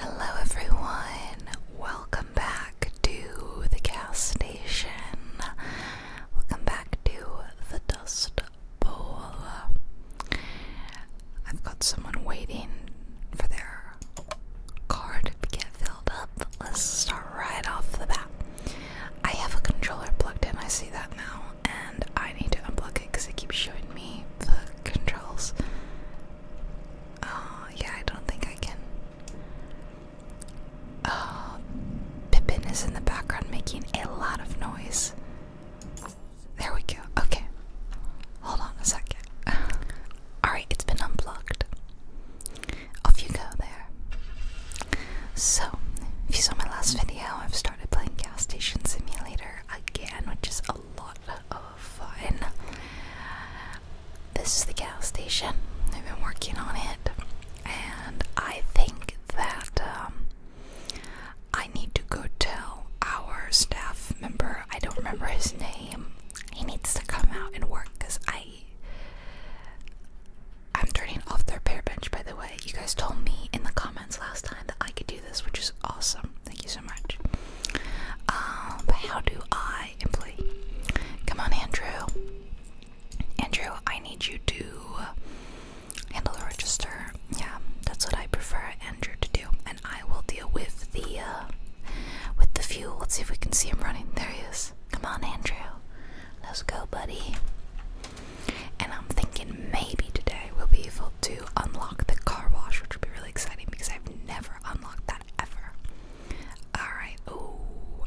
Hello, everyone. Welcome back to the gas station. Welcome back to the Dust Bowl. I've got someone waiting for their car to get filled up. Let's start right off the bat. I have a controller plugged in, I see that now, I need to unplug it because it keeps showing me the controls. Uh, yeah, I don't think I can. Uh, Pippin is in the background making a lot of noise. There we go. Okay. Hold on a second. Alright, it's been unplugged. Off you go there. So, if you saw my last video, I've started playing Gas Station Simulator again, which is a lot lot of This is the gas station. I've been working on it, and I think that um, I need to go tell our staff member. I don't remember his name. He needs to come out and work because I. I'm turning off their pair bench by the way. You guys told me in the comments last time that I could do this, which is awesome. Thank you so much. Um, but how do I employ? Come on, Andrew. Andrew, I need you to handle the register. Yeah, that's what I prefer Andrew to do, and I will deal with the uh, with the fuel. Let's see if we can see him running. There he is. Come on, Andrew. Let's go, buddy. And I'm thinking maybe today we'll be full to unlock the car wash, which would be really exciting because I've never unlocked that ever. Alright, oh,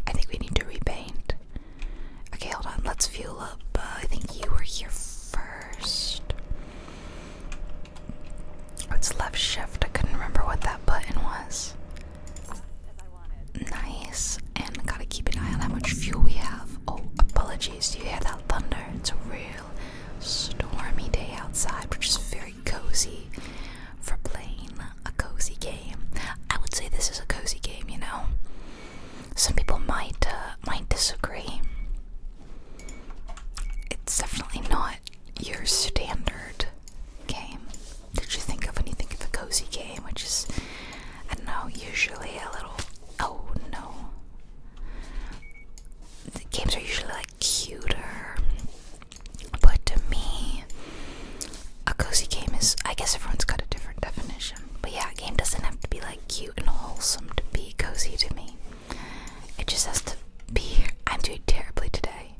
I think we need to repaint. Okay, hold on, let's fuel up. Uh, I think you were here first. Oh, left shift. I couldn't remember what that button was. Nice, and gotta keep an eye on how much fuel we have. Oh, apologies, do you hear that thunder? It's a real stormy day outside, which is very cozy for playing a cozy game. I would say this is a cozy game, you know. Some people might uh, might disagree. It's definitely not your standard game Did you think of when you think of a cozy game, which is I don't know, usually a little oh no. games are usually like cuter. But to me, a cozy game is I guess everyone's got a different definition. But yeah, game doesn't have to be like cute and wholesome to be cozy to me. It just has to be I'm doing terribly today.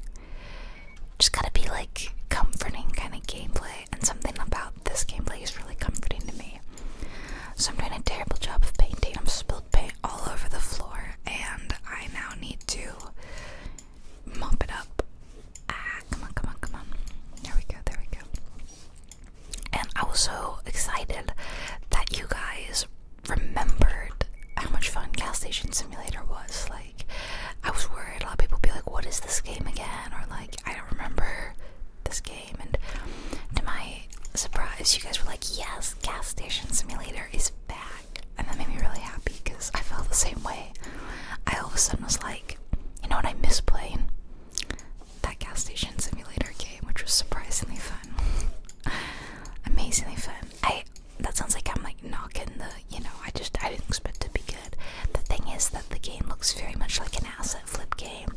Just gotta be like comforting kind of gameplay and something about this gameplay is really comforting to me. So I'm doing a terrible job of painting. i am spilled paint all over the floor, and I now need to mop it up. Ah, come on, come on, come on. There we go, there we go. And I was so excited that you guys remembered how much fun Gas Simulator was. Like, I was worried a lot of people be like, What is this game again? Or, like, I don't remember this game. And to my really surprised you guys were like, yes, Gas Station Simulator is back. And that made me really happy because I felt the same way. I all of a sudden was like, you know what, I miss playing that Gas Station Simulator game, which was surprisingly fun. Amazingly fun. I that sounds like I'm like knocking the, you know, I just I didn't expect to be good. The thing is that the game looks very much like an asset flip game.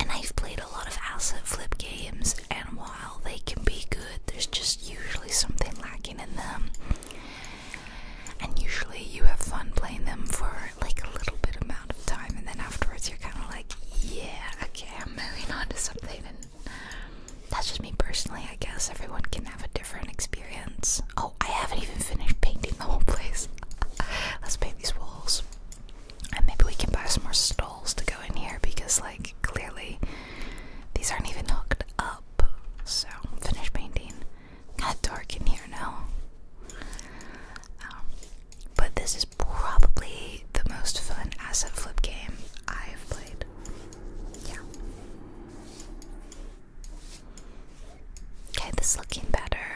And I've played a lot of asset flip games and while they can be good, there's just usually something lacking in them. And usually you have fun playing them for like a little bit amount of time, and then afterwards you're kind of like, yeah, okay, I'm moving on to something. And that's just me personally, I guess. Everyone can have a different experience. Oh, I haven't even finished painting the whole place. Let's paint these walls. And maybe we can buy some more stalls to go in here because, like, clearly these aren't even hooked up. So, finish painting. Got dark in here now. Um, but this is probably the most fun asset flip game I've played. Yeah. Okay, this is looking better.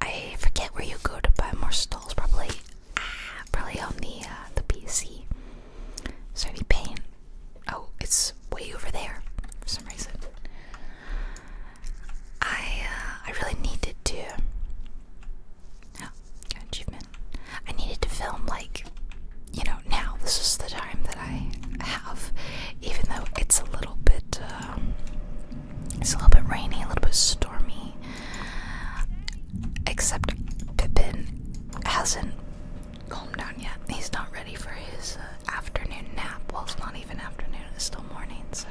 I forget where you go to buy more stalls, probably probably on the uh, the PC. Started paying. Oh, it's way over there for some reason. I uh, I really needed to. Oh, achievement. I needed to film like, you know, now. This is the time that I have, even though it's a little bit. Um, it's a little bit rainy, a little bit stormy. Except Pippin hasn't calmed down yet. He's not ready for his uh, afternoon nap. Well, it's not even afternoon, it's still morning, so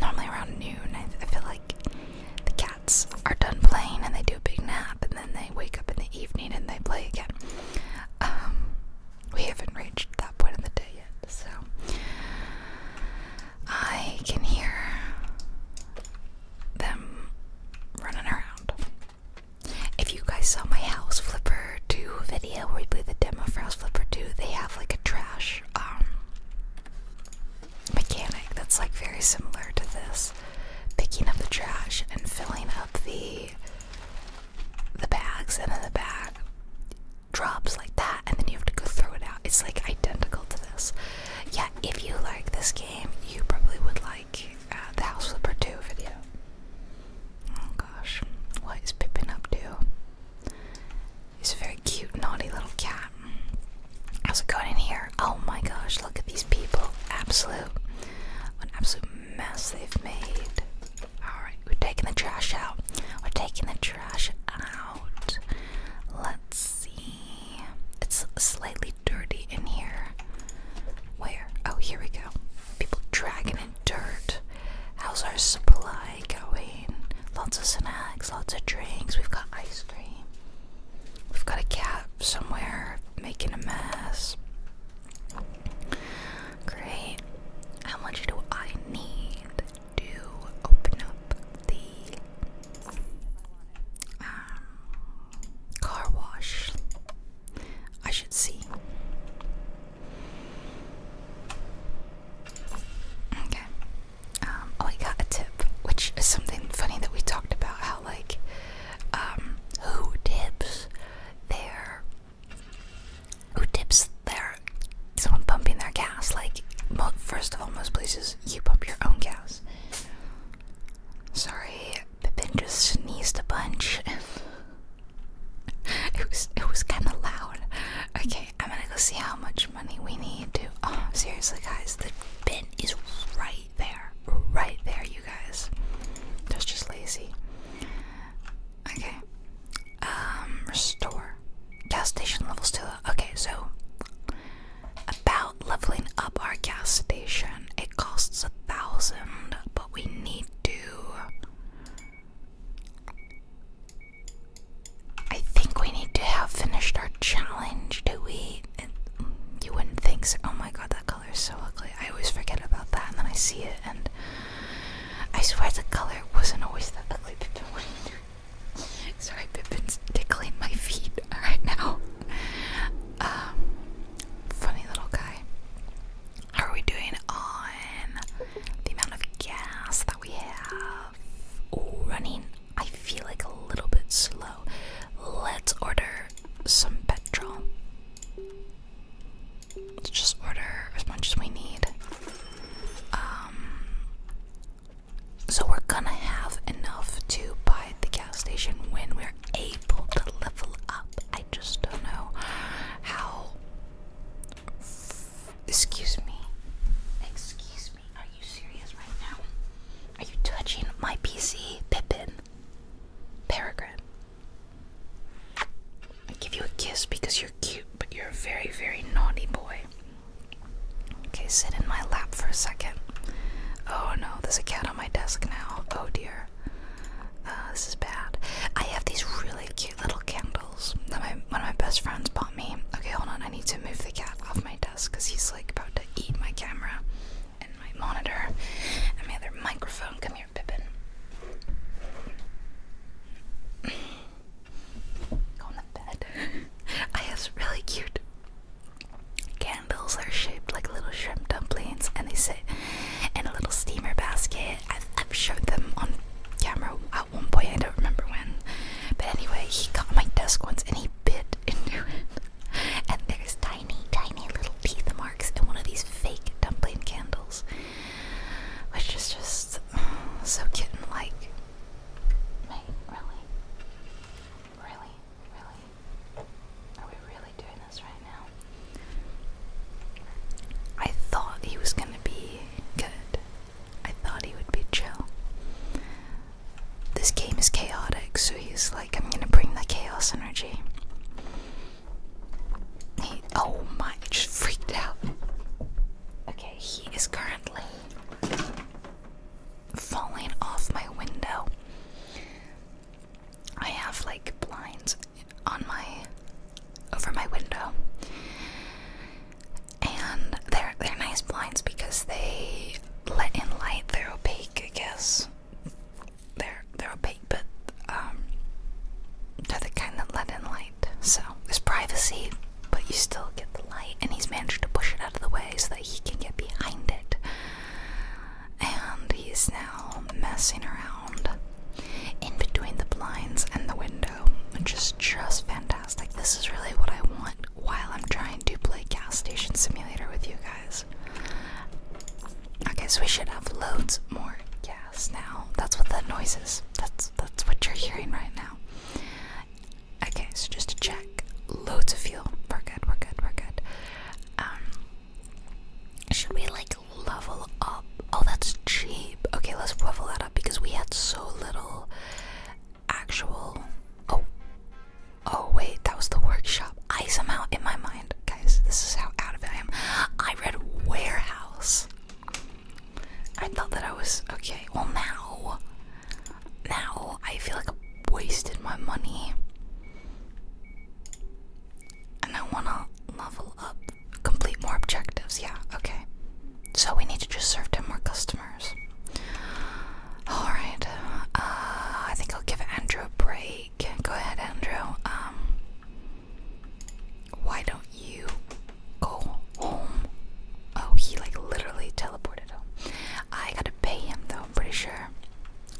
normally around noon, I, feel like the cats are done playing and they do a big nap and then they wake up in the evening and they play again. Um, we haven't reached that point of the day yet, so I can hear them running around. If you guys saw my House Flipper 2 video where we played the demo for House Flipper 2, they have like a trash um, mechanic that's like very similar to this. Picking up the trash and filling up the the bags and then the bag drops like that and then you have to go throw it out. It's like identical to this yeah, if you like this game, you probably would like uh, the House Flipper 2 video. Oh gosh, what is Pippin up to? He's a very cute, naughty little cat. How's it going in here? Oh my gosh, look at these people. Absolute, an absolute mess they've made. Alright, we're taking the trash out. We're taking the trash out. Let's see. It's slightly dirty in here. Where? Oh, here we go. People dragging in dirt. How's our supply going? Lots of snacks, lots of drinks. We've got ice cream. We've got a cat somewhere making a mess. Great. How much do I need to open up the um, car wash. I should see. Okay. Um, oh, I got a tip, which is something funny that we talked about. How like, um, who tips their, who tips their, someone pumping their gas? Like, mo first of all, most places you pump your own gas. Sorry, the Pippin just sneezed a bunch. it was it was kind of loud. Okay, I'm gonna go see how much money we need to. Oh, seriously, guys, the bin is right there, right there, you guys. That's just lazy. Okay, um, restore gas station levels to. Okay, so about leveling up our gas station. It costs a thousand, but we need to. I think we need to have finished our challenge. Do we? you wouldn't think so. Oh my god, that color is so ugly. I always forget about that, and then I see it, and I swear the color wasn't always that ugly. Sorry, Pippin's tickling my feet right now. Um, funny little guy. How are we doing on the amount of gas that we have? running, I feel like a little bit slow. Let's order some petrol. Let's just order as much as we need. Um, so we're gonna have enough to buy the gas station when we're able to level up. I just don't know how. Excuse me. Excuse me. Are you serious right now? Are you touching my PC, Pippin? Peregrine. I give you a kiss because you're cute, but you're a very, very naughty boy. Okay, sit in my lap for a second. Oh no, there's a cat on my desk now. Oh dear. Uh, this is bad. I have these really cute little candles that my, one of my best friends bought me. Okay, hold on. I need to move the cat off my desk because he's like about to eat my camera and my monitor and my other microphone. Come here, Pippin. Go on bed. I have really cute Candles are shaped like little shrimp dumplings and they sit in a little steamer basket. I've, shown them on camera at one point, I don't remember when. But anyway, he got my desk once and he bit into it. And there's tiny, tiny little teeth marks in one of these fake dumpling candles. Which is just so kitten like. really? Really? Really? Are we really doing this right now? I thought he was gonna be good. I thought he would be chill. This game is chaotic, so he's like, I'm gonna bring the chaos energy. oh my, it just freaked out. Okay, he is currently falling off my window. I have like blinds on my over my window. And they're they're nice blinds because they let in light. They're opaque, I guess. They're they're opaque, but um, they're the kind that let in light. So there's privacy, but you still get the light. And he's managed to push it out of the way so that he can get behind it and he's now messing around in between the blinds and the window, which is just fantastic. This is really what I want while I'm trying to play Gas Station Simulator with you guys. I guess we should have loads more gas now. That's what that noise is. That's that's what you're hearing right now. Okay, so just to check, loads of fuel. We're good. We're good. We're good. Um, should we like level up? Oh, that's cheap. Okay, let's level that up because we had so little actual. Oh, oh wait, that was the workshop. I somehow in my mind, guys, this is how out of it I am. I read warehouse. I thought that I was okay. Well, now, now I feel like I wasted my money. And I wanna level up, complete more objectives. Yeah, okay. So we need to just serve to more customers. Alright, uh, I think I'll give Andrew a break. Go ahead, Andrew. Um, why don't you go home? Oh, he like literally teleported home. I gotta pay him though, I'm pretty sure.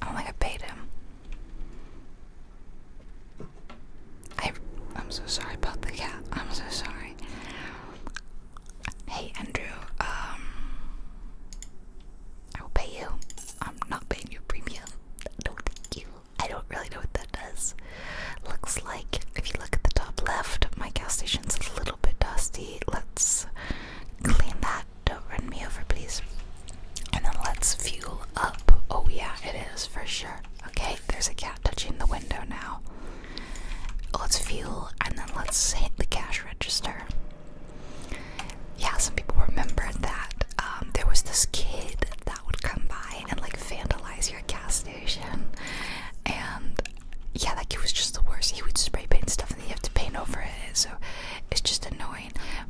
I don't think I paid him. I, am so sorry about the cat. I'm so sorry. Hey, Andrew. Um, I will pay you. I'm not paying you premium. No, thank you. I don't really know what that does. Looks like if you look at the top left, my gas station's a little bit dusty. Let's clean that don't run me over, please. And then let's fuel up. Oh, yeah, it is for sure. Okay, there's a cat touching the window now. Let's fuel and then let's hit the cash register. Yeah, some people remember that um, there was this kid that would come by and like vandalize your gas station. And yeah, like he was just the worst. He would spray paint stuff and then you have to paint over it. So it's just annoying.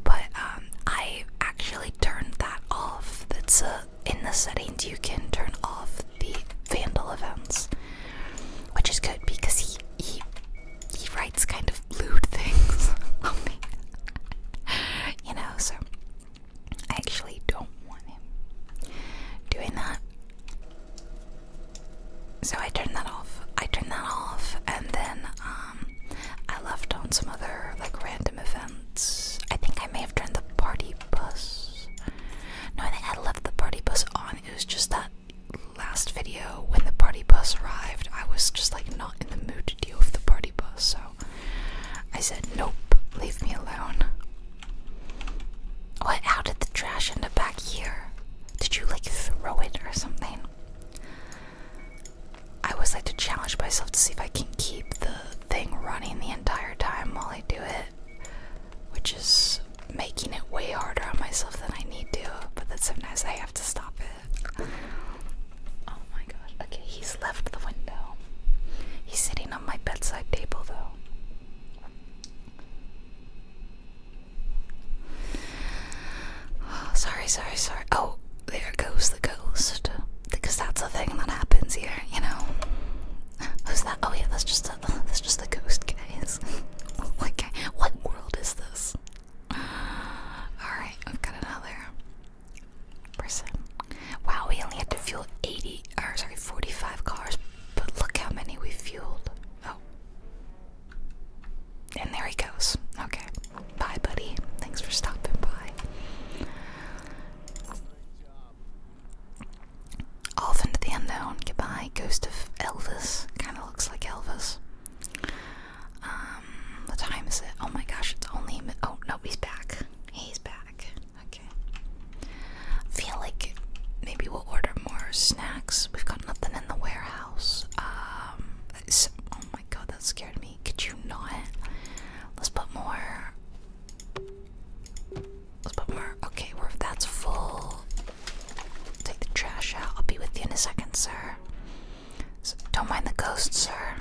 But um, I actually turned that off. That's a, in the settings you can turn off the vandal events, which is good because he he he writes kind of lewd things you know, so I actually don't want him doing that. So I turned that off. I turned that off, and then um, I left on some other like random events. I think I may have turned the party bus. No, I think I left the party bus on. It was just that last video when the party bus arrived, I was just like not in the mood to deal with the party bus, so I said, Nope, leave me alone. What? How did the trash end up back here? Did you like throw it or something? I always like to challenge myself to see if I can keep the thing running the entire time while I do it, which is making it way harder on myself than I need to, but then sometimes I have to stop it. Oh my gosh. Okay, he's left the window. He's sitting on my bedside table though. Oh, sorry, sorry, sorry. Oh, there goes the ghost. Because that's the thing that happens here, you know. Who's that? Oh yeah, that's just that's just the ghost, guys. like, oh what world is this? All right, we've got another person. Wow, we only had to fuel 80, or sorry, 45 cars, but look how many we fueled. Oh. And there he goes. Okay. Bye, buddy. Thanks for stopping by. Off into the unknown. Goodbye, ghost of Elvis. Kind of looks like Elvis. Um, what time is it? Oh my gosh, it's only. Oh no, he's back. He's back. Okay. feel like maybe we'll order more snacks. We've got nothing in the warehouse. Um, oh my god, that scared me. Could you not? Let's put more. Let's put more. Okay, well, if that's full, take the trash out. I'll be with you in a second, sir. don't mind the ghost, sir.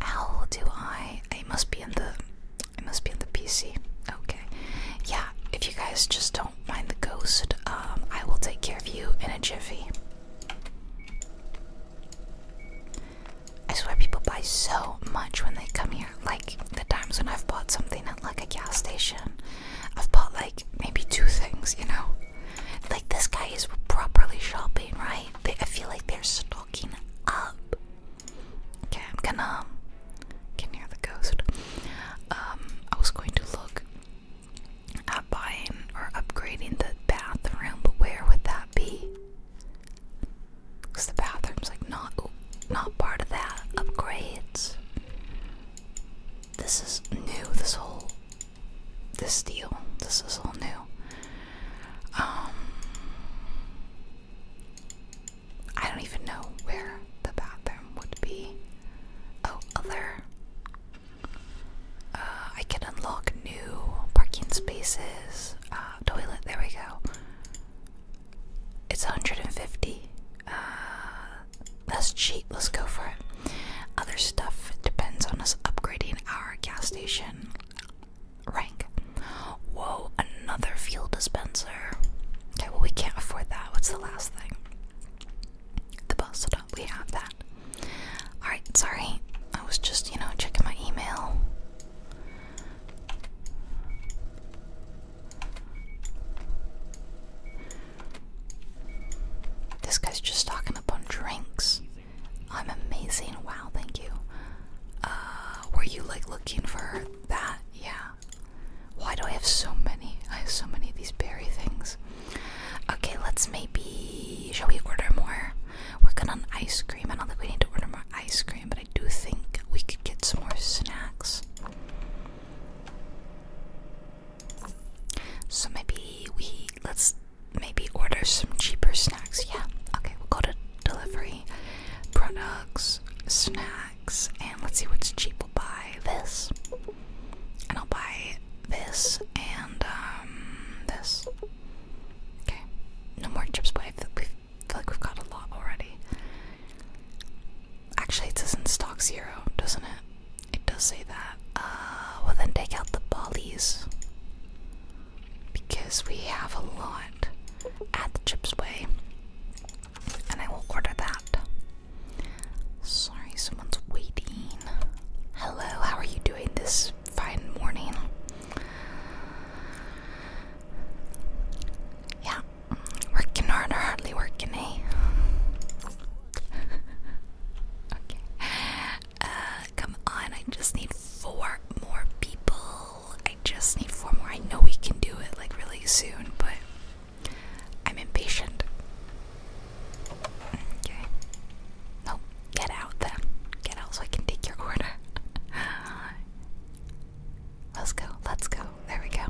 How do I? I must be in the. I must be in the PC. Okay. Yeah. If you guys just don't mind the ghost, um, I will take care of you in a jiffy. I swear people buy so much when they come here. Like the times when I've bought something at like a gas station, I've bought like maybe two things, you know? Like this guy is properly shopping, right? I feel like they're stocking up. Okay, I'm gonna can hear the ghost. Um I was going to look uh, buying or upgrading the bathroom, but where would that be? Because the bathroom's like not not part of that upgrades. This is new. This whole this deal. This is all new. Um, I don't even know where the bathroom would be. Oh, other uh, I can unlock new parking spaces. Uh, toilet, there we go. It's 150. Uh, that's cheap, let's go for it. Other stuff depends on us upgrading our gas station rank. Whoa, another fuel dispenser. Okay, well, we can't afford that. What's the last thing? the bus stop. We have that. Alright, sorry. I was just, you know, checking my email. This guy's just talking up on drinks. I'm amazing. Wow, thank you. Uh, were you like looking for that? Yeah. Why do I have so many? I have so many of these berry things. Okay, let's maybe. Shall we order more? We're good on ice cream. I don't think we need to order more ice cream, but I do think we could get some more snacks. So maybe we. Let's maybe order some cheaper snacks. Yeah, okay, we'll go to delivery, products, snacks, and let's see what's cheap. We'll buy this and I'll buy this and um this. Okay, no more chips, but I feel, we feel like we've got a lot already. Actually, it says in stock zero, doesn't it? It does say that. Uh, well then take out the Bollies because we have a lot at the chips way, and I will order that. Sorry, someone's waiting. Hello, how are you doing? this fine morning. Yeah, working hard hardly working, eh? okay. Uh, come on, I just need four more people. I just need four more. I know we can do it like really soon, but I'm impatient. Okay. No, get out then. Get out so I can take your order. let's go, let's go. There we go.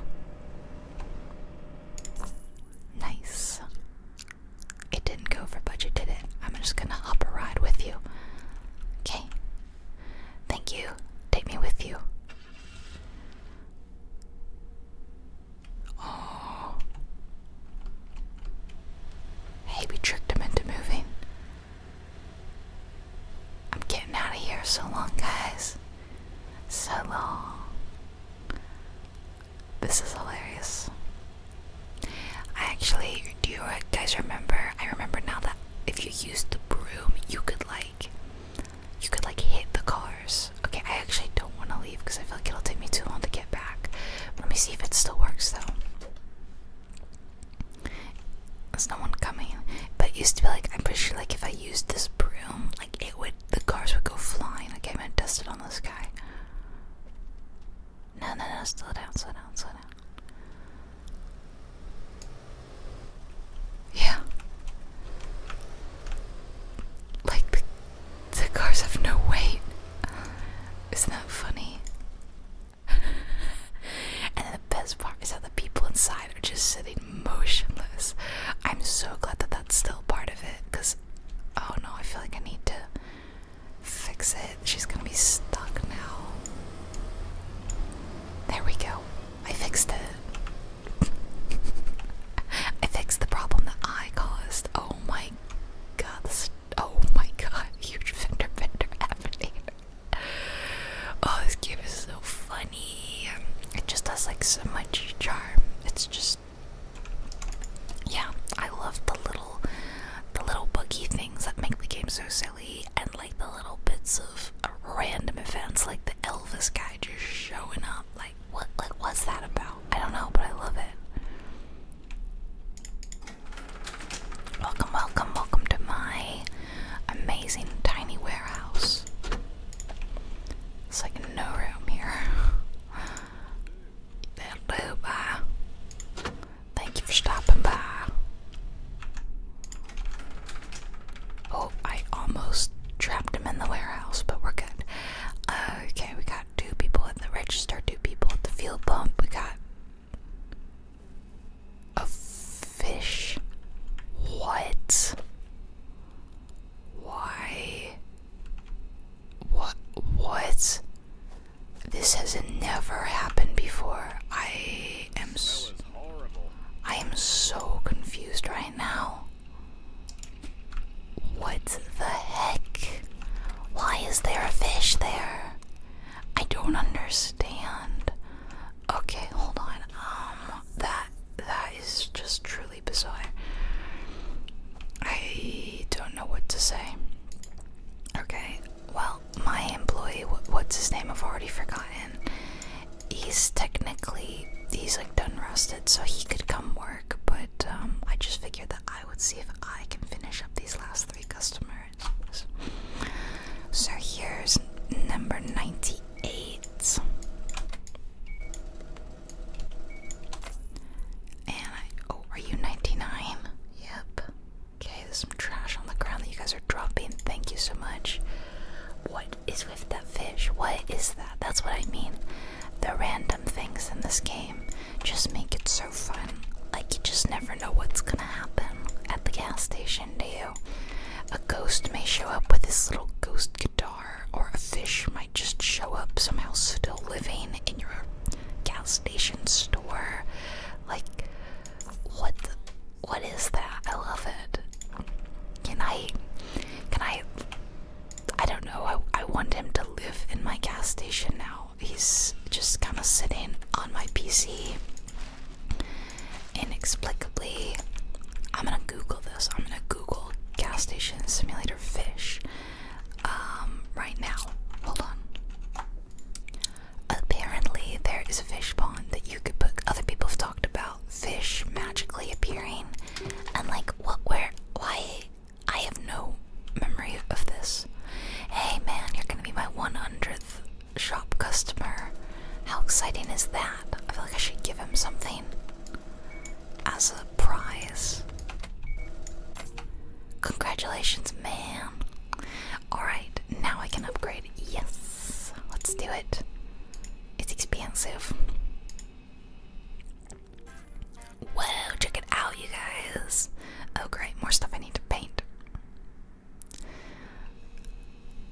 Nice. It didn't go over budget, did it? I'm just gonna hop a ride with you. Okay. Thank you. Take me with you. Oh. Hey, we tricked him into moving. I'm getting out of here so long, guys. So long. This is hilarious. I actually, do you guys remember? I remember now that if you used the broom, you could like, you could like hit the cars. Okay, I actually don't want to because I feel like it'll take me too long to get back. Let me see if it still works though. There's no one coming. But it used to be like I'm pretty sure like if I used this broom, like it would the cars would go flying. Like I'm gonna dust it on this guy. No no no slow down, slow down, slow down. Yeah. Like the cars have no weight. Isn't that funny? and the best part is that the people inside are just sitting motionless. I'm so glad that that's still part of it because, oh no, I feel like I need to fix it. She's gonna be stuck now. There we go. I fixed it. I fixed the problem that I caused. Oh my god, this Oh my god, huge Fender Bender Avenir. Oh, this game is so funny. It just has like so much charm. It's just yeah, I love the little the little boogie things that make the game so silly and like the little bits of random events like the Elvis guy just showing up. Like what like what's that about? I don't know, but I love it. Welcome, welcome, welcome to my amazing tiny warehouse. It's like no room here. that bye. Thank you for stopping by. Oh, I almost trapped him in the warehouse, but we're good. Okay, we got two people at the register, two people at the fuel pump. We got a fish. What? Why? What? What? This has never happened before. I am. S I am so confused right now. What the heck? Why is there a fish there? I don't understand. Okay, hold on. Um that that is just truly bizarre. I don't know what to say. Okay. Well, my employee, what's his name? I've already forgotten. He's technically he's like done rusted, so he could come work, but um I just figured that I would see if I can finish up these last so here's number 98. And Oh, are you 99? Yep. Okay, there's some trash on the ground that you guys are dropping. Thank you so much. What is with that fish? What is that? That's what I mean. The random things in this game just make it so fun. Like, you just never know what's gonna happen at the gas station, do you? A ghost may show up with his little ghost guitar, or a fish might just show up somehow still living in your gas station store. Like, what what is that? I love it. Can I, can I, I don't know, I, I want him to live in my gas station now he's just kind of sitting on my PC. Inexplicably, I'm gonna Google this. I'm gonna Google gas station simulator fish um, right now. Hold on. Apparently, there is a fish pond that you could put. Other people have talked about fish magically appearing, and like, what? Where? Why? I have no memory of this. Hey man, you're gonna be my 100th shop customer. How exciting is that? I feel like I should give him something as a prize. Congratulations, man. Alright, now I can upgrade. Yes, let's do it. It's expensive. Whoa, check it out, you guys. Oh, great, more stuff I need to paint.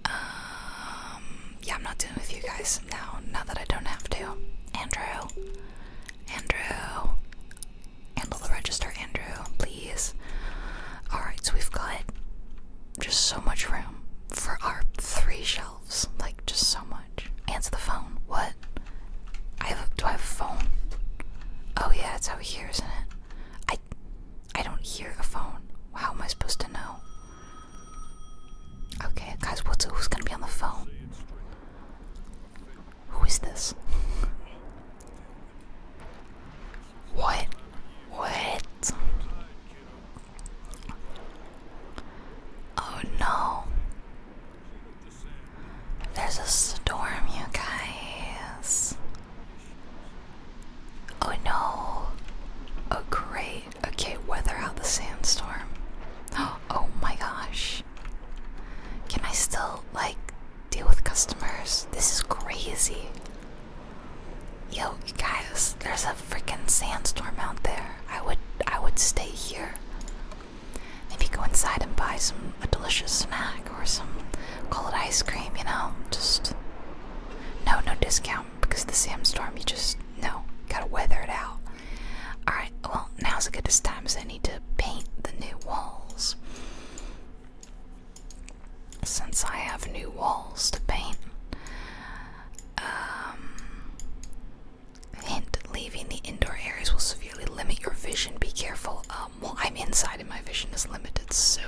Um, yeah, I'm not doing with you guys now, now that I don't have to. Andrew, Andrew, handle the register, Andrew, please. Alright, so we've got just so much room for our three shelves, like, just so much. Answer the phone, what? I have, do I have a phone? Oh yeah, it's out here, isn't it? I I don't hear a phone. How am I supposed to know? Okay, guys, who's gonna be on the phone? Who is this? What? What? Oh no. There's a storm, you guys. Oh no. Oh great. Okay, weather out the sandstorm. Oh my gosh. Can I still, like, deal with customers? This is crazy. Yo, guys, there's a freaking sandstorm out there. I would I would stay here. Maybe go inside and buy some a delicious snack or some cold ice cream, you know? Just no, no discount because the sandstorm, you just no, gotta weather it out. Alright, well, now's a good time as I need to paint the new walls. Since I have new walls to paint, um, hint leaving the indoor areas will severely limit your vision. Be careful of. I'm inside and my vision is limited, so.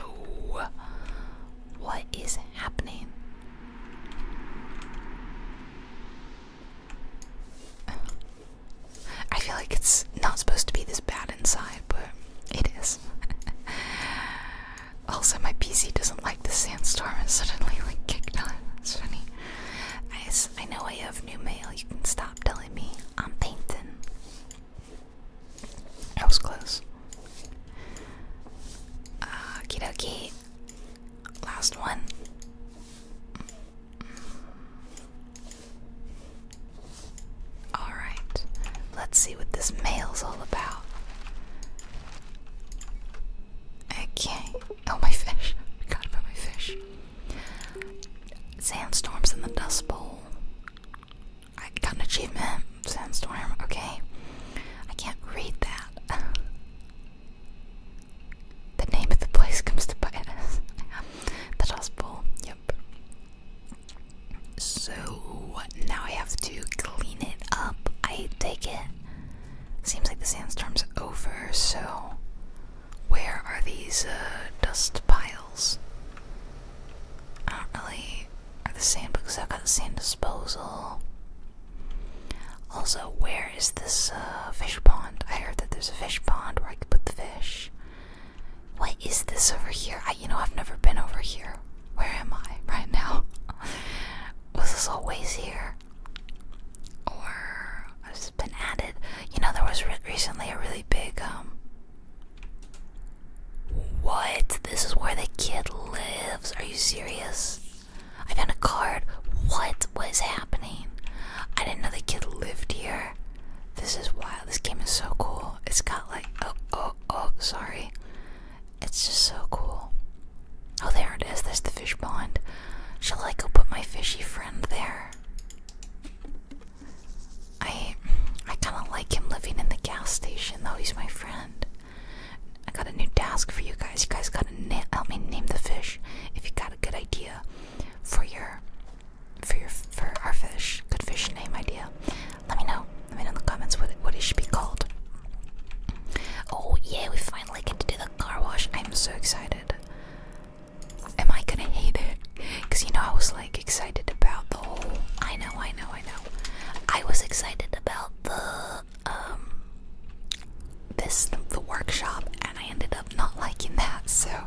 What is happening? I feel like it's not supposed to be this bad inside, but it is. also, my PC doesn't like the sandstorm and suddenly like kicked on. It's funny. I, I know I have new mail. You can stop telling me I'm painting. That was close. Uh, Okie dokie. Last one. Alright, let's see what this mail's all about. Okay. Oh, my fish. I my fish. Sandstorms in the Dust Bowl. I got an achievement. Sandstorm. Okay. I can't read that. the name of the place comes to bite us. the dust bowl. Yep. So now I have to clean it up. I take it. Seems like the sandstorm's over, so where are these uh, dust piles? I don't really. Are the sand I've got the sand disposal. Also, where is this uh, fish pond? I heard that there's a fish pond where I could put the fish. What is this over here? you know, I've never been over here. Where am I right now? Was this always here? Or has been added? You know, there was recently a really big um, what? This is where the kid lives. Are you serious? I found a card. What was happening? I didn't know the kid lived here. This is wild. This game is so cool. It's got like oh oh oh sorry. It's just so cool. Oh there it is. That's the fish pond. Shall I go put my fishy friend there? I I kind of like him living in the gas station, though. He's my friend. I got a new task for you guys. You guys gotta help me name the fish. If you got a good idea for your for your for our fish, good fish name idea, let me know. Let me know in the comments what it, what it should be called. Oh yeah, we finally get to do the car wash. I'm so excited am I gonna hate it? Because you know, I was like excited about the whole. I know, I know, I know. I was excited about the um this the workshop, and I ended up not liking that. So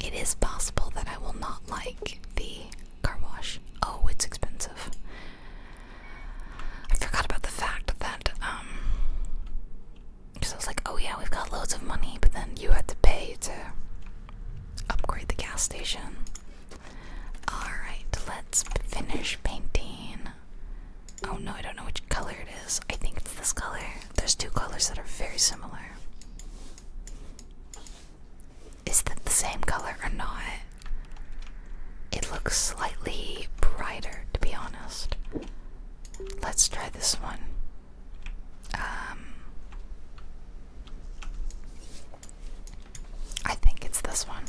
it is possible that I will not like the car wash. Oh, it's expensive. I forgot about the fact that um, because I was like, oh yeah, we've got loads of money, but then you had to pay to upgrade the gas station. Alright, let's finish painting. Oh no, I don't know which color it is. I think it's this color. There's two colors that are very similar. Is that the same color or not? It looks slightly brighter, to be honest. Let's try this one. Um, I think it's this one.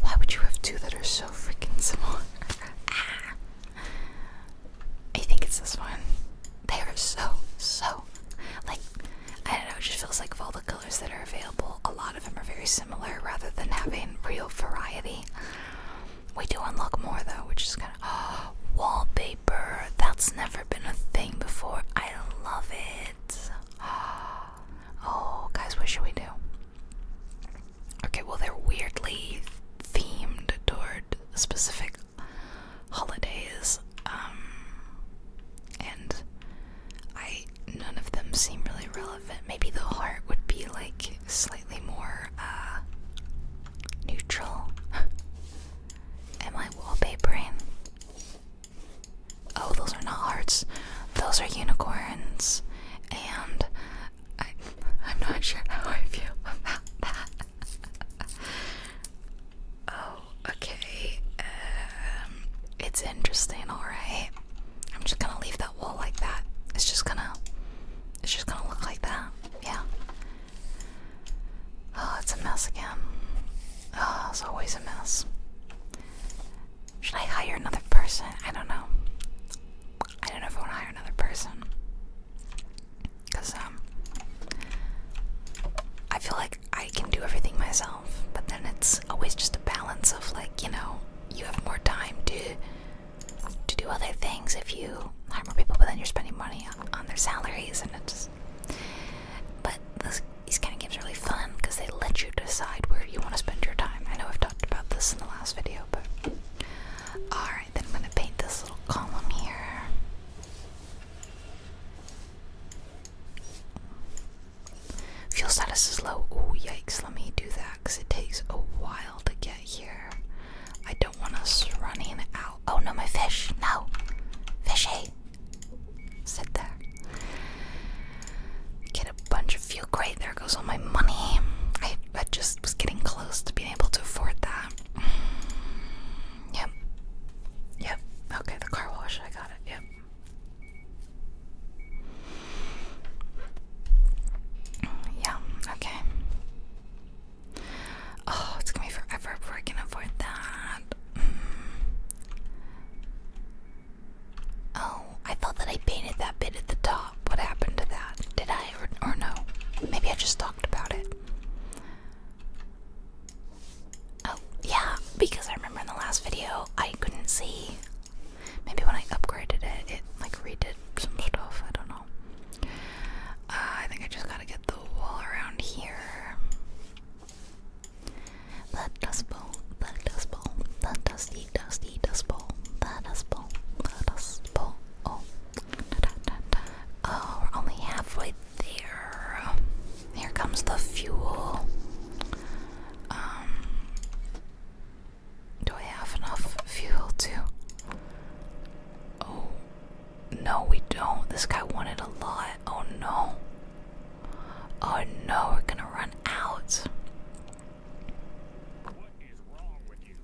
Why would you have two that are so freaking similar? I think it's this one. They are so, so, like, I don't know, it just feels like of all the colors that are available, a lot of them are very similar rather than having real variety. We do unlock more though, which is kind of. wallpaper! That's never been a thing before. I love it. Oh, guys, what should we do? Okay, well, they're weirdly themed toward specific holidays, um, and I none of them seem really relevant. Maybe the heart would be like slightly more uh, neutral. Am I wallpapering? Oh, those are not hearts. Those are unicorns. And I, I'm not sure how I feel about that. oh, okay. Um, it's interesting, alright. I'm just gonna leave that wall like that. It's just gonna, it's just gonna look like that. Yeah. Oh, it's a mess again. Oh, it's always a mess. Should I hire another person? I don't know. I don't know if I want to hire another person. Because, um, I feel like I can do everything myself, but then it's always just a balance of, like, you know, you have more time to to do other things if you hire more people, but then you're spending money on, their salaries, and it's. just but these kind of games are really fun because they let you decide where you want to spend your time. I know I've talked about this in the last video, but alright, then I'm going to paint this little column here. Fuel status is low. Oh, yikes, let me do that because it takes a while to get here. I don't want us running out. Oh no, my fish! No! Fishy! Sit there. Get a bunch of feel Great, there goes all my money. I, I just was getting close to being able to afford that. Mm, yep. Yep. Okay, the car wash. I got it. Yep. Yeah, okay. Oh, it's gonna be forever before I can afford that. Mm. Oh, I thought that I painted that bit at the top. What happened to that? Did I or, no? Maybe I just talked about it. Oh, yeah, because I remember in the last video I couldn't see. Maybe when I upgraded it, it like redid some stuff. I don't know. Uh, I think I just gotta get the wall around here. That dust bowl, That dust bowl, That dusty, dusty dust bowl, That dust bowl, That dust bowl. Oh, oh, we're only halfway there. Here comes the fuel. Um, do I have enough fuel to? Oh, no, we don't. This guy wanted a lot. Oh no. Oh no, we're gonna run out. What is wrong with you?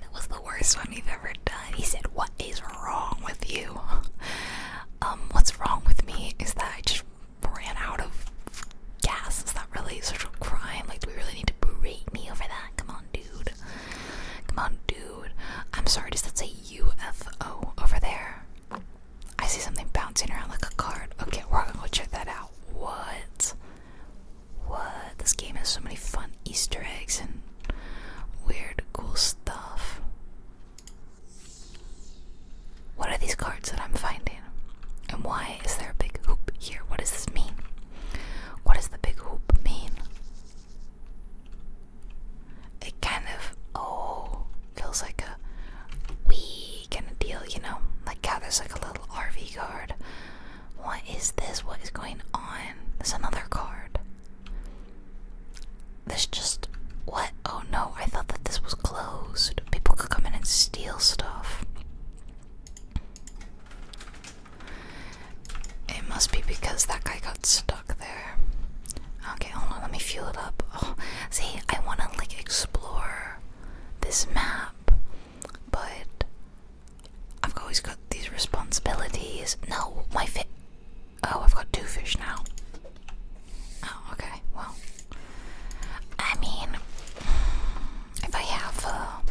that was the worst one we ever done. He said, What is wrong with you? um, what's wrong with me is that I just ran out of gas. Is that really such a crime? Like, do we really need to berate me over that? Come on, dude. Come on, dude. I'm sorry, does that say UFO over there? I see something bouncing around like a card. Okay, we're gonna go check that out. What? What? This game has so many fun Easter eggs and weird, cool stuff. What are these cards that I'm finding? And why is there a big hoop here? What does this mean? What does the big hoop mean? it kind of oh feels like a wee kind of deal, you know? Like God, there's like a little RV guard. What is this? What is going on? There's another card. This just what? Oh no, I thought that this was closed. People could come in and steal stuff. It must be because that guy got stuck there. Okay, hold on, let me fuel it up. Oh, see, I want to like explore this map, but I've always got these responsibilities. No, my fish. Oh, I've got two fish now. Oh, okay, well. I mean, if I have, uh,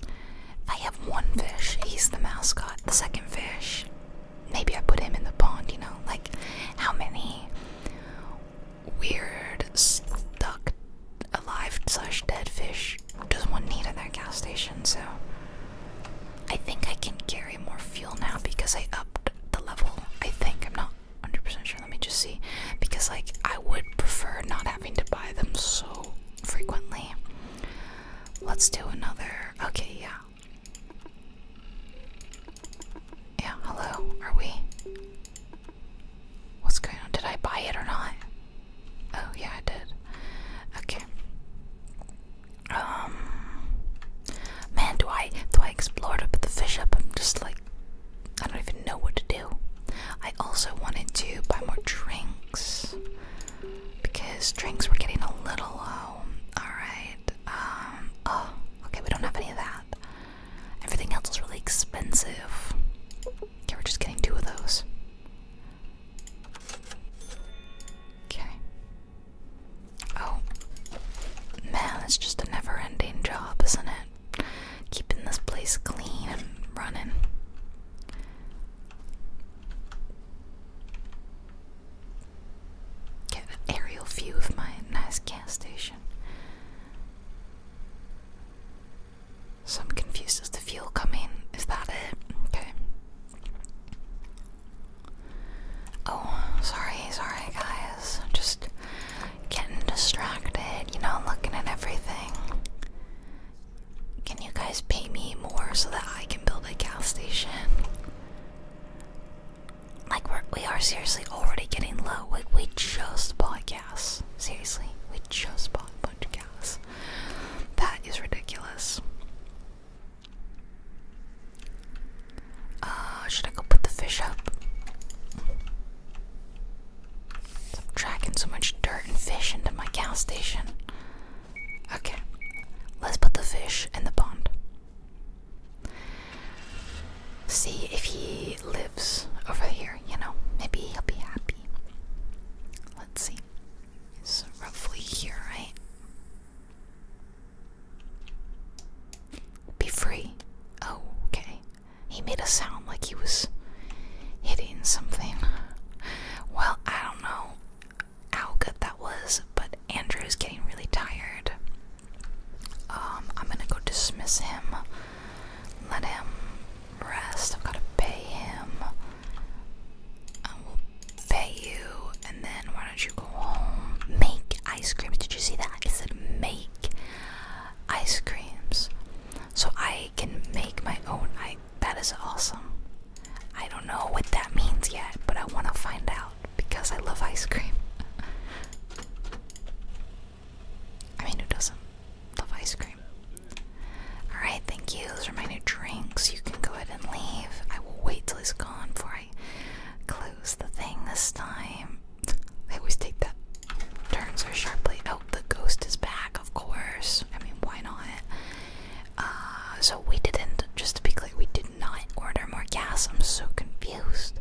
if I have one fish, he's the mascot. The second fish maybe I put him in the pond, you know? Like, how many weird, stuck, alive slash dead fish does one need in that gas station? So, I think I can carry more fuel now because I upped the level. I think. I'm not 100% sure. Let me just see. Because, like, I would prefer not having to buy them so frequently. Let's do another. Okay, yeah. Yeah, hello, are we? What's going on? Did I buy it or not? Oh, yeah, I did. Okay. Um. Man, do I do I explore to put the fish up? I'm just like, I don't even know what to do. I also wanted to buy more drinks because drinks were getting a little low. All right. Um. Oh. Okay, we don't have any of that. Everything else is really expensive. Okay, we're just getting two of those. Okay. Oh. Man, it's just a never ending job, isn't it? Keeping this place clean and running. Get an aerial view of my nice gas station. Some i confused as to fuel coming. Is that it? Okay. Oh, sorry, sorry guys. just getting distracted, you know, looking at everything. Can you guys pay me more so that I can build a gas station? like we're, we are seriously already getting low. We we just bought gas. Seriously, we just bought a bunch of gas. That is ridiculous. Uh, should I go put the fish up? I'm tracking so much dirt and fish into my gas station. Okay, let's put the fish in the pond. See if he lives over here, you know? Maybe he'll be happy. Let's see. He's roughly here, right? Be free. Oh, okay. He made a sound like he was hitting something. Well, I don't know how good that was, but Andrew's getting really tired. Um, I'm gonna go dismiss him. Let him rest. I've gotta pay him. I will pay you, and then why don't you go home? Make ice cream. Did you see that? I said make ice creams. So I can make my own. I that is awesome. I don't know what that means yet, but I wanna find out because I love ice cream. I mean, who doesn't love ice cream? Alright, thank you. Those are my new drinks. You can go ahead and leave. I will wait till he's gone before I close the thing this time. They always take that turn so sharply. Oh, the ghost is back, of course. I mean, why not? Uh, so we didn't, just to be clear, we did not not order more gas. I'm so confused.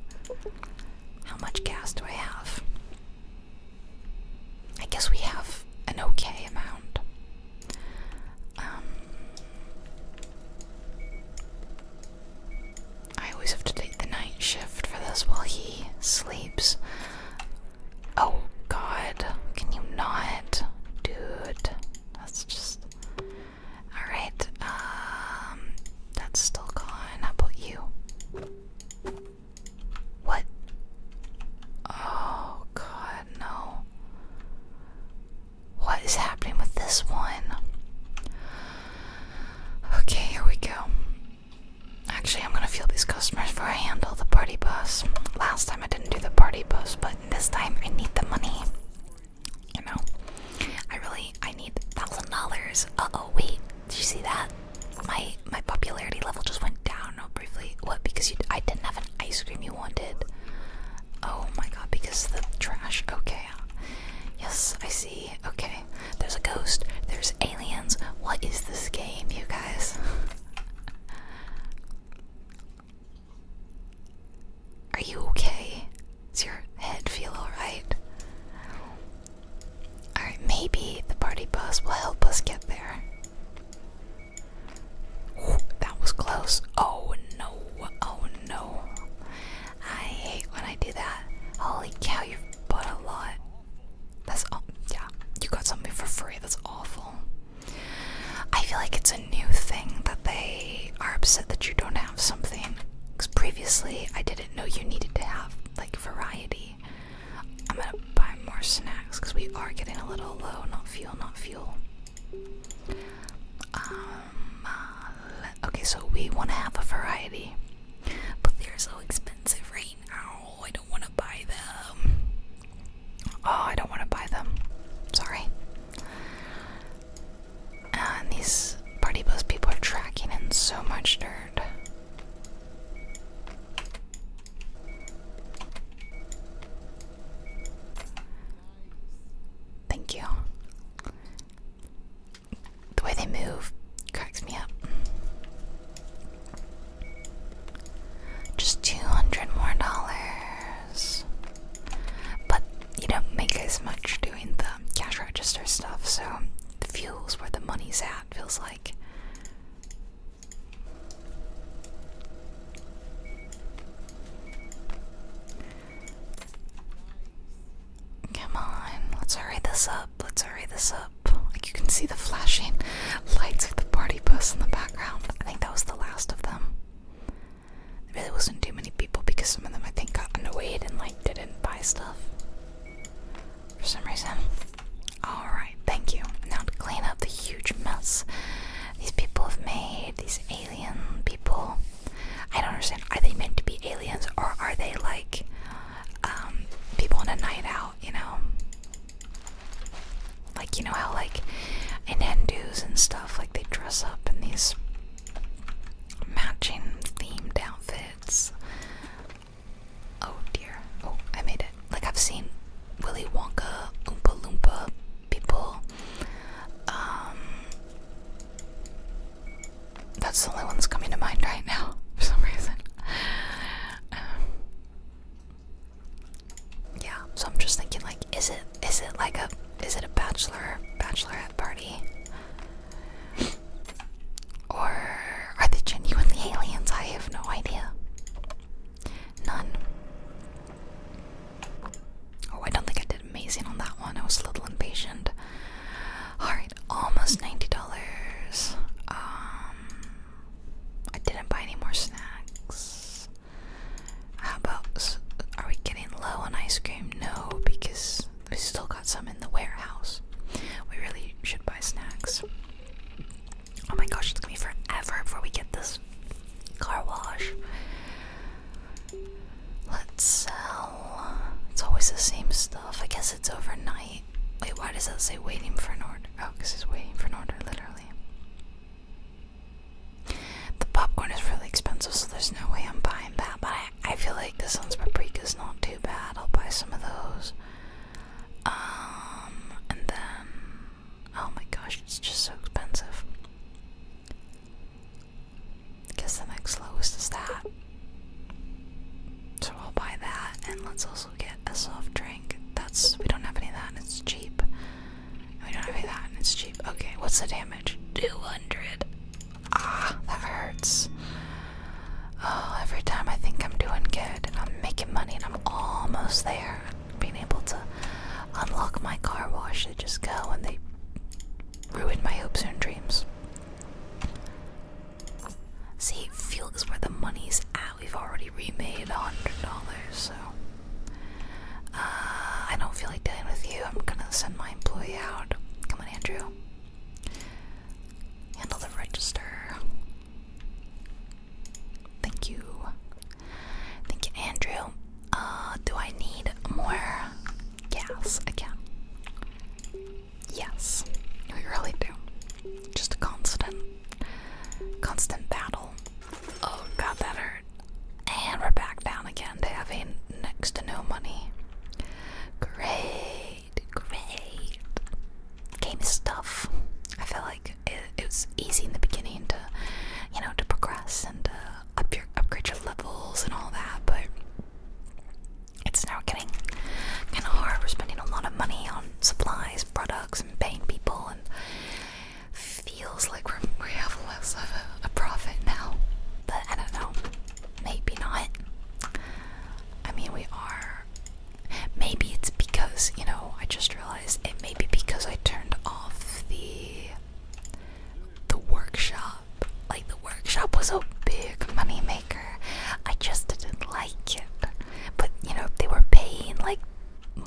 How much gas do I have? I guess we have an okay amount. Um, I always have to take the night shift for this while he sleeps. Oh god, can you not? Dude, that's just. Alright, um, that's still gone. How about you? What? Oh, God, no. What is happening with this one? Okay, here we go. Actually, I'm gonna feel these customers before I handle the party bus. Last time I didn't do the party bus, but this time I need the money. You know, I really I need thousand dollars. Uh oh, wait, did you see that? My my popularity level just went down Oh, briefly. What? Because I didn't have an ice cream you wanted. Oh my god, because the trash. Okay. Yes, I see. Okay. There's a ghost. There's aliens. What is this game, you guys? Are you okay? Does your head feel alright? Alright, maybe the party bus will help us get there. that was close. Oh no, oh no. I hate when I do that. Holy cow, you bought a lot. That's yeah, you got something for free. That's awful. I feel like it's a new thing that they are upset that you don't have something. Because previously I didn't know you needed to have like variety. I'm gonna buy more snacks because we are getting a little low. Not fuel, not fuel. Um, uh, okay, so we want to have a variety, but they're so expensive right now. I don't want to buy them. Oh, I don't want to buy them. Sorry. Uh, and these party bus people are tracking in so much dirt. Thank you. The way they move cracks me up. Just two hundred more dollars. But you don't make as much doing the cash register stuff, so the fuel's where the money's at, feels like. Come on, let's hurry this up. Let's hurry this up. Like you can see the flashing lights of the party bus in the background. I think that was the last of them. There really wasn't too many people because some of them I think got annoyed and like didn't buy stuff for some reason. Alright, thank you. Now to clean up the huge mess these people have made, these alien people. I don't understand. Are they meant to be aliens or are they like um, people on a night out, you know? Like, you know how, like, in Hindus and stuff, like, they dress up in these matching themed outfits Oh dear. Oh, I made it. Like I've seen Willy Wonka, Oompa Loompa people. Um, that's the only one that's coming to mind right now for some reason. Um, yeah, so I'm just thinking like, is it is it like a is it a bachelor bachelorette party? Or are they genuinely aliens? I have no idea. None. Oh, I don't think I did amazing on that one. I was a little impatient. Alright, almost $90. Um, I didn't buy any more snacks. How about. Are we getting low on ice cream? No, because we still got some in the warehouse. We really should buy snacks. Oh my gosh, it's gonna be forever before we get this car wash. Let's sell. It's always the same stuff. I guess it's overnight. Wait, why does it say waiting for an order? Oh, because it's waiting for an order, literally. The popcorn is really expensive, so there's no way I'm buying that, but I I, feel like this one's is not too bad. I'll buy some of those. Um, and then, oh my gosh, it's just so expensive. guess the next lowest is that. So I'll buy that, and let's also get a soft drink. That's, we don't have any of that, and it's cheap. we don't have any that, and it's cheap. Okay, what's the damage? 200. Ah, that hurts. Oh, every time I think I'm doing good and I'm making money and I'm almost there, being able to unlock my car wash, they just go and they ruin my hopes and dreams. See, fuel is where the money's at. We've already remade a hundred dollars, so uh, I don't feel like dealing with you. I'm gonna send my employee out. Come on, Andrew. Handle the register. Thank you. Thank you, Andrew. Uh, do I need more gas again? Yes, we really do. Just a constant, constant battle. Oh god, that hurt. And we're back down again having next to no money. Great. Great, Game stuff. I feel like it, was easy in the beginning to, you know, to progress and to up your upgrade your levels and all that, but it's now getting kind of hard. We're spending a lot of money on supplies, products, and paying people, and feels like we're, we have less of a profit now. But I don't know. Maybe not. I mean, we are. Maybe it's because, you know, I just realized it may be because I turned off the the workshop. Like the workshop was a big money maker. I just didn't like it. But you know, they were paying like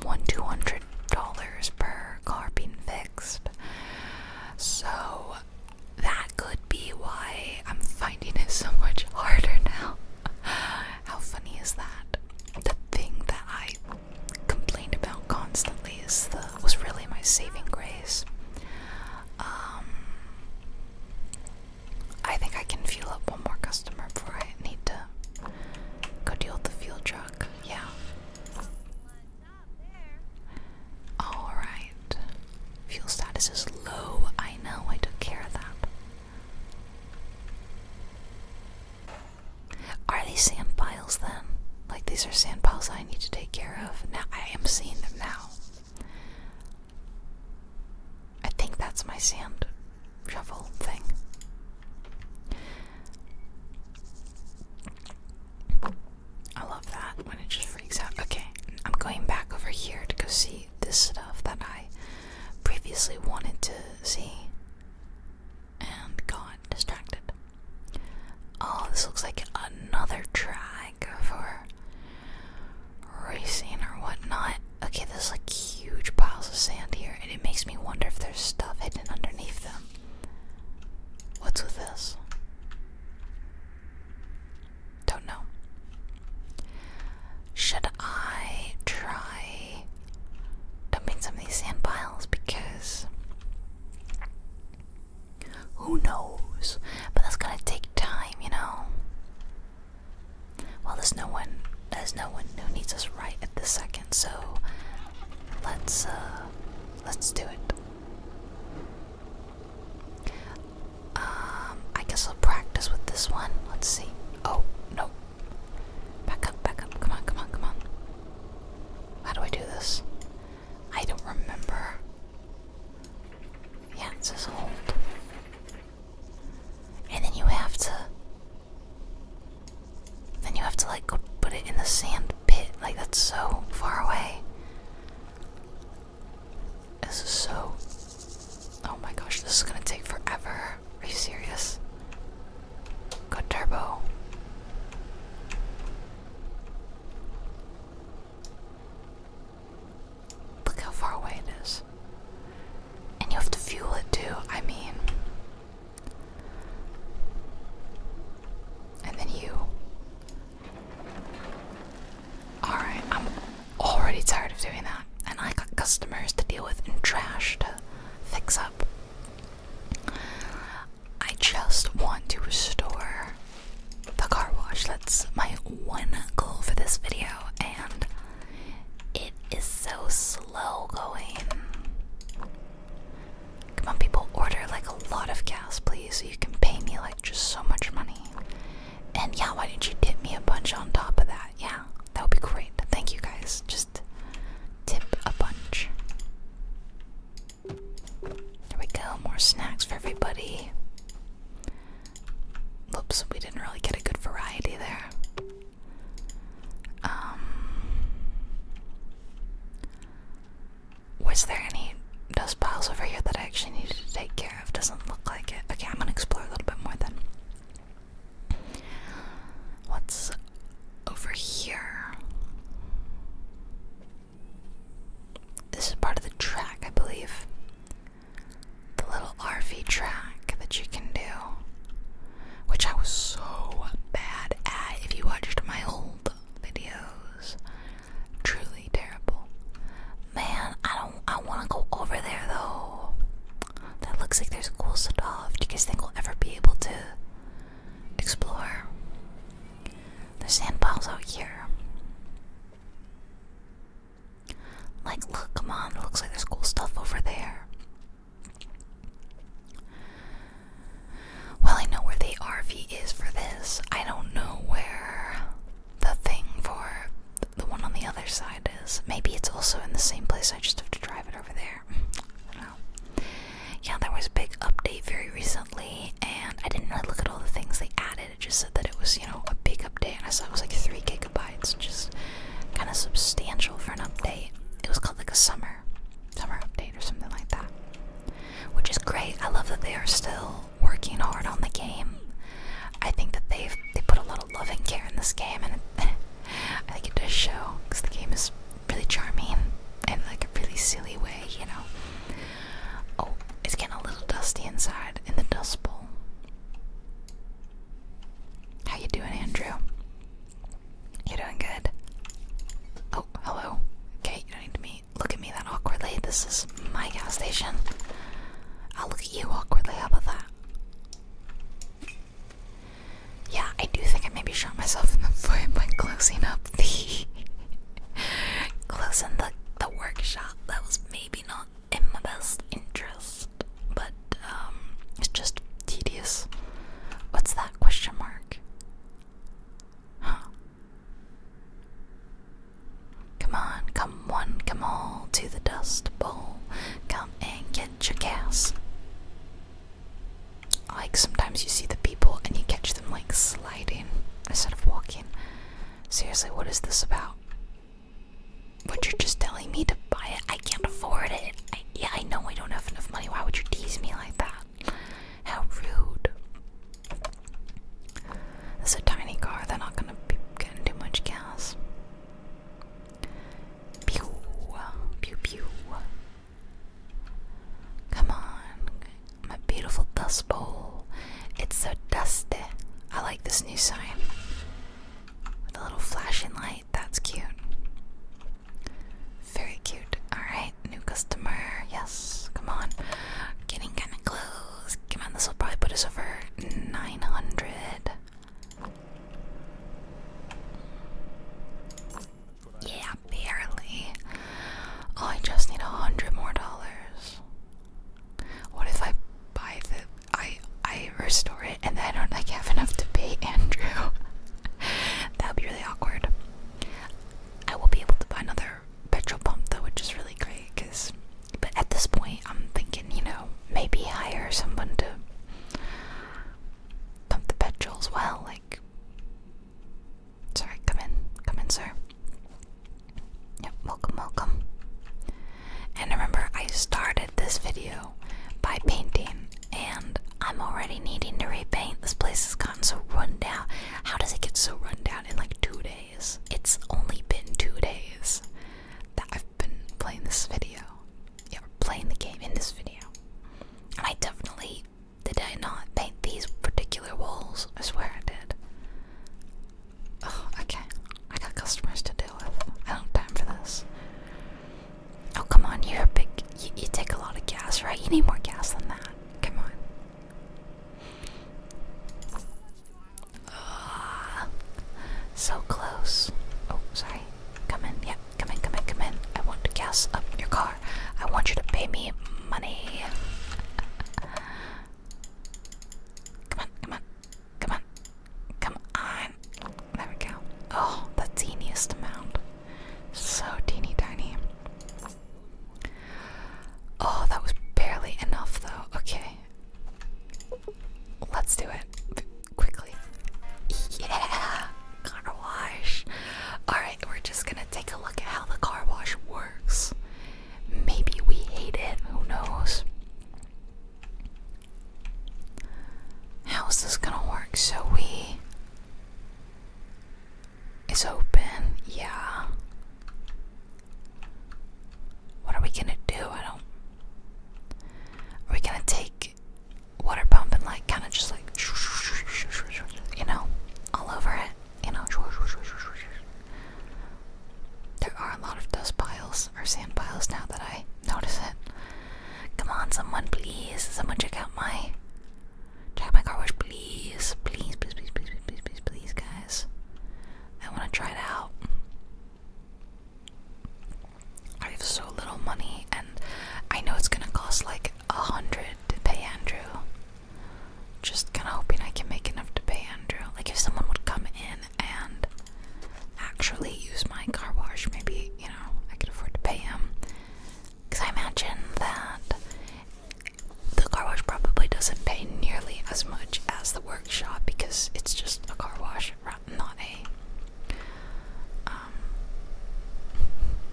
one two hundred dollars per car being fixed. So that could be why I'm finding it so much harder now. How funny is that? The thing that I complained about constantly is the was really my saving grace. Um, I think I can fuel up one more customer before I need to go deal with the fuel truck. Yeah. Alright. Fuel status is low. I know, I took care of that. Are these sand piles then? Like, these are sand piles I need to take care of. Now, I am seeing them now. I think that's my sand shovel thing. I that when it just freaks out. Okay, I'm going back over here to go see this stuff that I previously wanted to see and got distracted. Oh, this looks like another track for racing or whatnot. Okay, there's like huge piles of sand here, and it makes me wonder if there's stuff hidden underneath them. What's with this? Don't know. Should I try dumping some of these sand piles? Because who knows? But that's gonna take time, you know. Well, there's no one. There's no one who needs us right at this second. So let's uh, let's do it. Um, I guess I'll practice with this one. Let's see. Oh, no. Back up, back up. Come on, come on, come on. How do I do this? I don't remember. Yeah, it says hold. And then you have to. Then you have to, like, go put it in the sand pit. Like, that's so far away. This is so. Oh my gosh, this is gonna take forever. Are you serious? Go turbo. Look how far away it is. And you have to fuel it too, I mean. And then you Alright, I'm already tired of doing that. And I got customers to deal with and trash to fix up. I just want to restore the car wash. That's my one goal for this video, and it is so slow going. Come on, people, order like a lot of gas, please, so you can pay me like just so much money. And yeah, why don't you tip me a bunch on top of that? Yeah, that would be great. Thank you guys. Just tip a bunch. There we go. More snacks for everybody. Oops, we didn't really get a good variety there. Um, was there any dust piles over here that I actually needed to take care? Scarab doesn't look like it. Okay, I'm gonna explore a little bit more then. What's over here? This is part of the track, I believe. The little RV track that you can do. Which I was so bad at. If you watched my old videos, truly terrible. Man, I don't I wanna go over there though. That looks like there's cool stuff. Do you guys think we'll ever be able to explore? the sand piles out here. Like look, come on, looks like there's cool stuff over there. Well, I know where the RV is for this. I don't know where the thing for the one on the other side is. Maybe it's also in the same place, I just have to drive it over there. Yeah, there was a big update very recently, and I didn't really look at all the things they added. It just said that it was, you know, a big update, and I saw it was like 3 gigabytes, just kind of substantial for an update. It was called like a summer, summer update or something like that. Which is great. I love that they are still working hard on the game. I think that they have they put a lot of love and care in this game, and I think it does show because the game is really charming and like a really silly way, you know. Oh, it's getting a little dusty inside in the dust bowl. How you doing, Andrew? You're doing good. Oh, hello. Okay, you don't need to meet. Look at me that awkwardly. This is my gas station. I'll look you awkwardly. How about that? Yeah, I do think I maybe shot myself in the foot by closing up the closing the the workshop. That was maybe not in my best interest, but um, it's just tedious. What's that question mark? Huh? Come on, come one, come all to the dust bowl. Come and get your gas. Like sometimes you see the people and you catch them like sliding instead of walking. Seriously, what is this about? But you're just telling me to buy it. I can't afford it. yeah, I know I don't have enough money. Why would you tease me like that? How rude. It's a tiny car. They're not gonna be getting too much gas. Pew, pew, pew. Come on, my beautiful dust bowl. It's so dusty. I like this new sign with a little flashing light. That's cute. Very cute. Alright, new customer. Yes, come on. Getting kinda close. Come on, this will probably put us over 900. Yeah, barely. Oh, I just need a hundred more dollars. What if I buy the I I restore it and then I don't like have enough to pay Andrew? that would be really awkward. I will be able to buy another petrol pump though, which is really great because but at this point, I'm thinking, you know, maybe hire someone to pump the petrol as well. Like, sorry, come in, come in, sir. Yep, welcome, welcome. And remember, I started this video by painting, and I'm already needing to repaint. This place has gotten so run down. How does it get so run down in like two days? It's only been two days that I've i been playing this video. Yeah, we playing the game in this video. I definitely did I not paint these particular walls. I swear I did. Oh, okay. I got customers to deal with. I don't have time for this. Oh, come on. You're a big. you take a lot of gas, right? You need more gas than that. Come on. Ugh. Ah, so close. Oh, sorry. Come in. Yeah, come in, come in, come in. I want to gas up your car. I want you to pay me money. Come on, come on, come on, come on. There we go. Oh, the teeniest amount. So teeny tiny. Oh, that was barely enough though. Okay. Let's do it quickly. Yeah, car wash. All right, we're just gonna take a look at how the car wash works. Maybe we hate it. Who knows? How is this gonna work? So we. It's open, yeah. What are we gonna do? I don't are we gonna take water pump and like kind of just like you know all over it? You know there are a lot of dust piles or sand piles now that I notice it. Come on, someone please, someone check out my check out my car wash, please, please, please, please, please, please, please, please, guys. I want to try it out. I have so little money, and I know it's gonna cost like a hundred to pay Andrew. Just kinda hoping I can make enough to pay Andrew. Like, if someone would come in and actually use my car wash, maybe, you know, I could afford to pay him. Because I imagine that the car wash probably doesn't pay nearly as much as the workshop because it's just a car wash not a um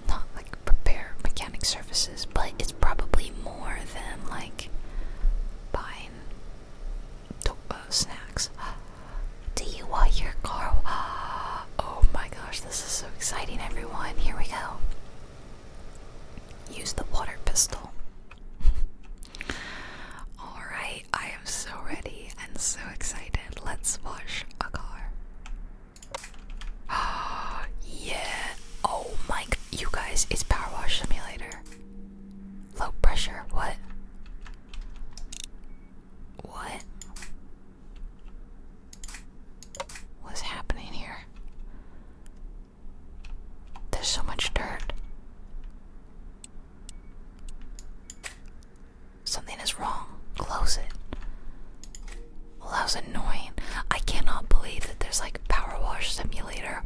not like repair mechanic services, but it's probably more than like buying uh, snacks. Do you want your car? Oh my gosh, this is so exciting, everyone! Here we go. Use the water pistol. Alright, I am so ready and so excited. Let's wash a car. Ah, yeah. Oh my, you guys, it's Power Wash Simulator. Low pressure. What? What? What's happening here? There's so much dirt. Something is wrong. Close it. Well, that was annoying. I cannot believe that there's like power wash simulator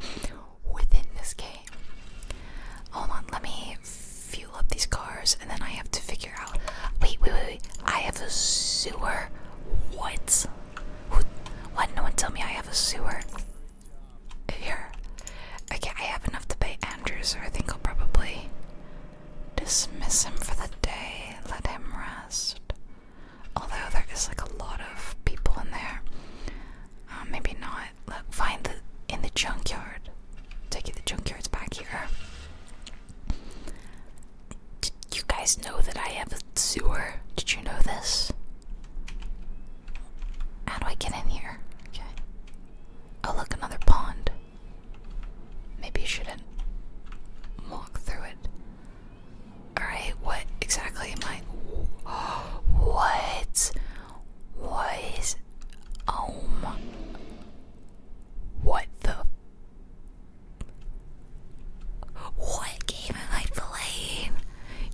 within this game. Hold on, let me fuel up these cars and then I have to figure out. Wait, wait, wait, I have a sewer. What? Who, what? No one tell me I have a sewer. Here. Okay, I have enough to pay Andrew, so I think I'll probably dismiss him for the day, let him rest. Although there is like a lot of people in there. Uh, maybe not. Look, find the in the junkyard. Take it the junkyard's back here. Did you guys know that I have a sewer? Did you know this? How do I get in here? Okay. Oh, look, another pond. Maybe you shouldn't walk through it. Alright, what exactly am I. What? What is. Oh my. What the. What game am I playing?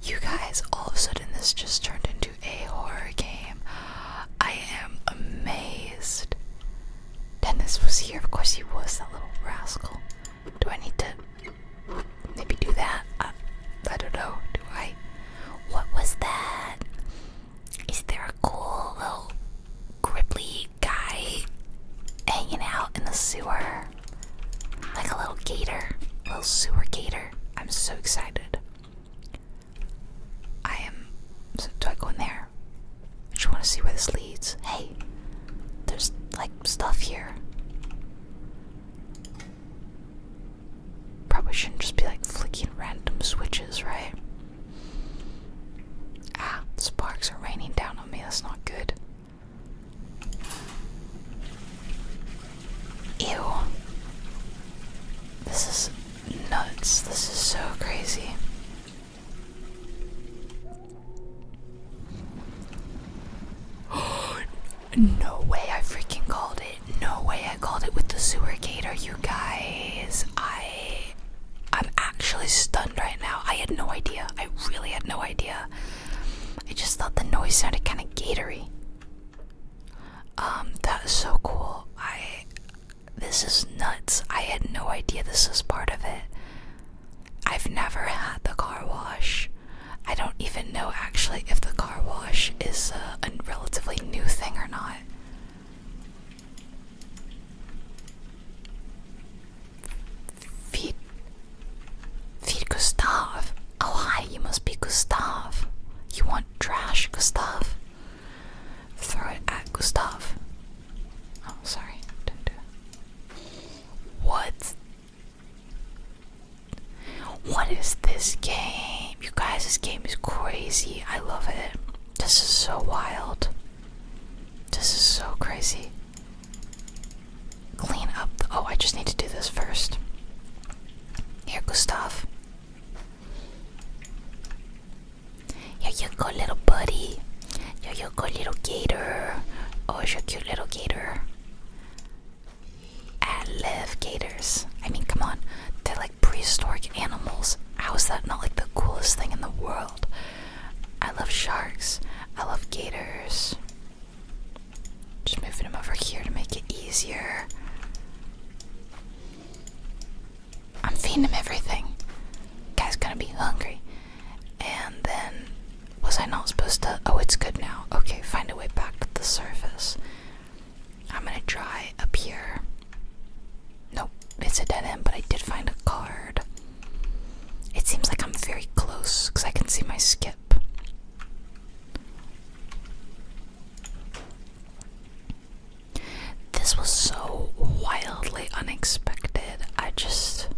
You guys, all of a sudden, this just turned into a horror game. I am amazed. Dennis was here. Of course, he was that little rascal. Do I need to maybe do that? I, don't know. Do I? What was that? Is there a cool little gripply guy hanging out in the sewer? Like a little gator, little sewer gator. I'm so excited. I am. So do I go in there? I just want to see where this leads. Hey, there's like stuff here. Probably shouldn't just be like flicking random switches, right? Ah, sparks are raining down on me. That's not good. Ew. This is nuts. This is so crazy. no way I freaking called it. No way I called it with the sewer gator, you guys. I I'm actually stunned right now. I had no idea. I really had no idea. I just thought the noise sounded kind of gatory. Um, that is so cool. I this is nuts. I had no idea this was part of it. I've never had the car wash. I don't even know actually if the car wash is a relatively new thing or not. Feed, feed Gustav. Oh hi, you must be Gustav. You want trash, Gustav? Throw it at Gustav. Oh, sorry, What? What is this game? You guys, this game is crazy. I love it. This is so wild. This is so crazy. Clean up. oh, I just need to do this first. Here, Gustav. Here you go, little buddy. Here you go, little gator. Oh, it's your cute little gator. I love gators. I mean, come on. They're like prehistoric animals. How is that not like the coolest thing in the world? I love sharks. I love gators. Just moving them over here to make it easier. I'm feeding him everything. Guy's gonna be hungry. And then, was I not supposed to? Oh, it's good now. Okay, find a way back to the surface. I'm gonna try up here. Nope, it's a dead end, but I did find a card. It seems like I'm very close because I can see my skip. This was so wildly unexpected. I just.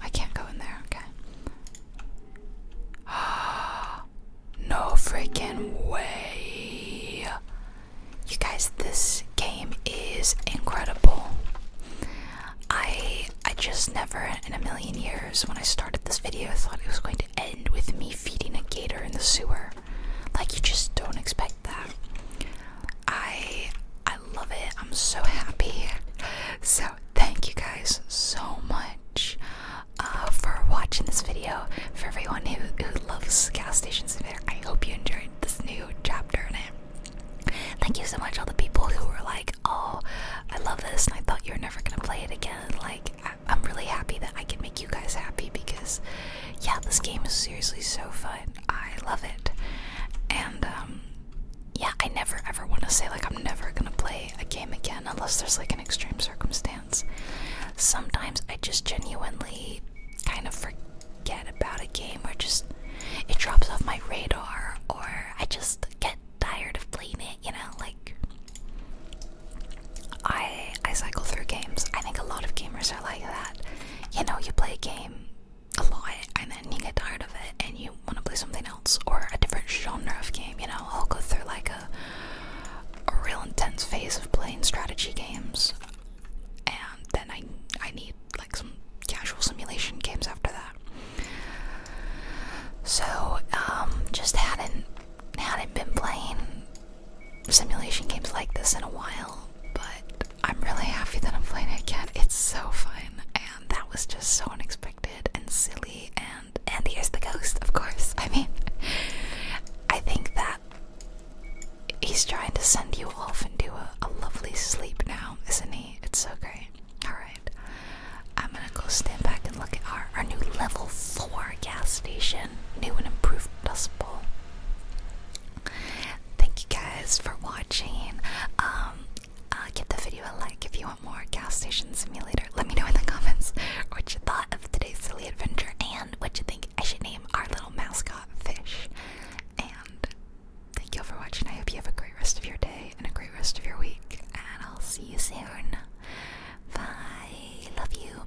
I can't go in there, okay. Ah, no freaking way. You guys, this game is incredible. I I just never in a million years when I started this video thought it was going to end with me feeding a gator in the sewer. Like you just don't expect that. I I love it. I'm so happy. So thank you guys so much uh, for watching this video. For everyone who, who loves gas station simulator, I hope you enjoyed this new chapter in it. Thank you so much all the people who were like, oh, I love this and I thought you were never gonna play it again. Like I'm really happy that I can make you guys happy because, yeah, this game is seriously so fun. I love it, and um, yeah, I never ever want to say like I'm never gonna play a game again unless there's like an extreme circumstance. Sometimes I just genuinely kind of forget about a game or just it drops off my radar or I just get tired of playing it. You know, like I I cycle through games. I think a lot of gamers are like that. You know, you play a game a lot and then you get tired of it and you want to play something else or a different genre of game, you know. I'll go through like a a real intense phase of playing strategy games and then I I need like some casual simulation games after that. So, um, just hadn't hadn't been playing simulation games like this in a while, but I'm really happy that I'm playing it again. It's so fun, and that was just so unexpected and silly. And and here's the ghost, of course. I mean, I think that he's trying to send you off into a, a lovely sleep now, isn't he? It's so great. All right, I'm gonna go stand back and look at our our new level four gas station, new and improved possible. Thank you guys for watching. Um, uh, give the video a like if you want more gas station simulator. Let me know in the comments what you thought of today's silly adventure and what you think I should name our little mascot fish. And thank you all for watching. I hope you have a great rest of your day and a great rest of your week. And I'll see you soon. Bye. Love you.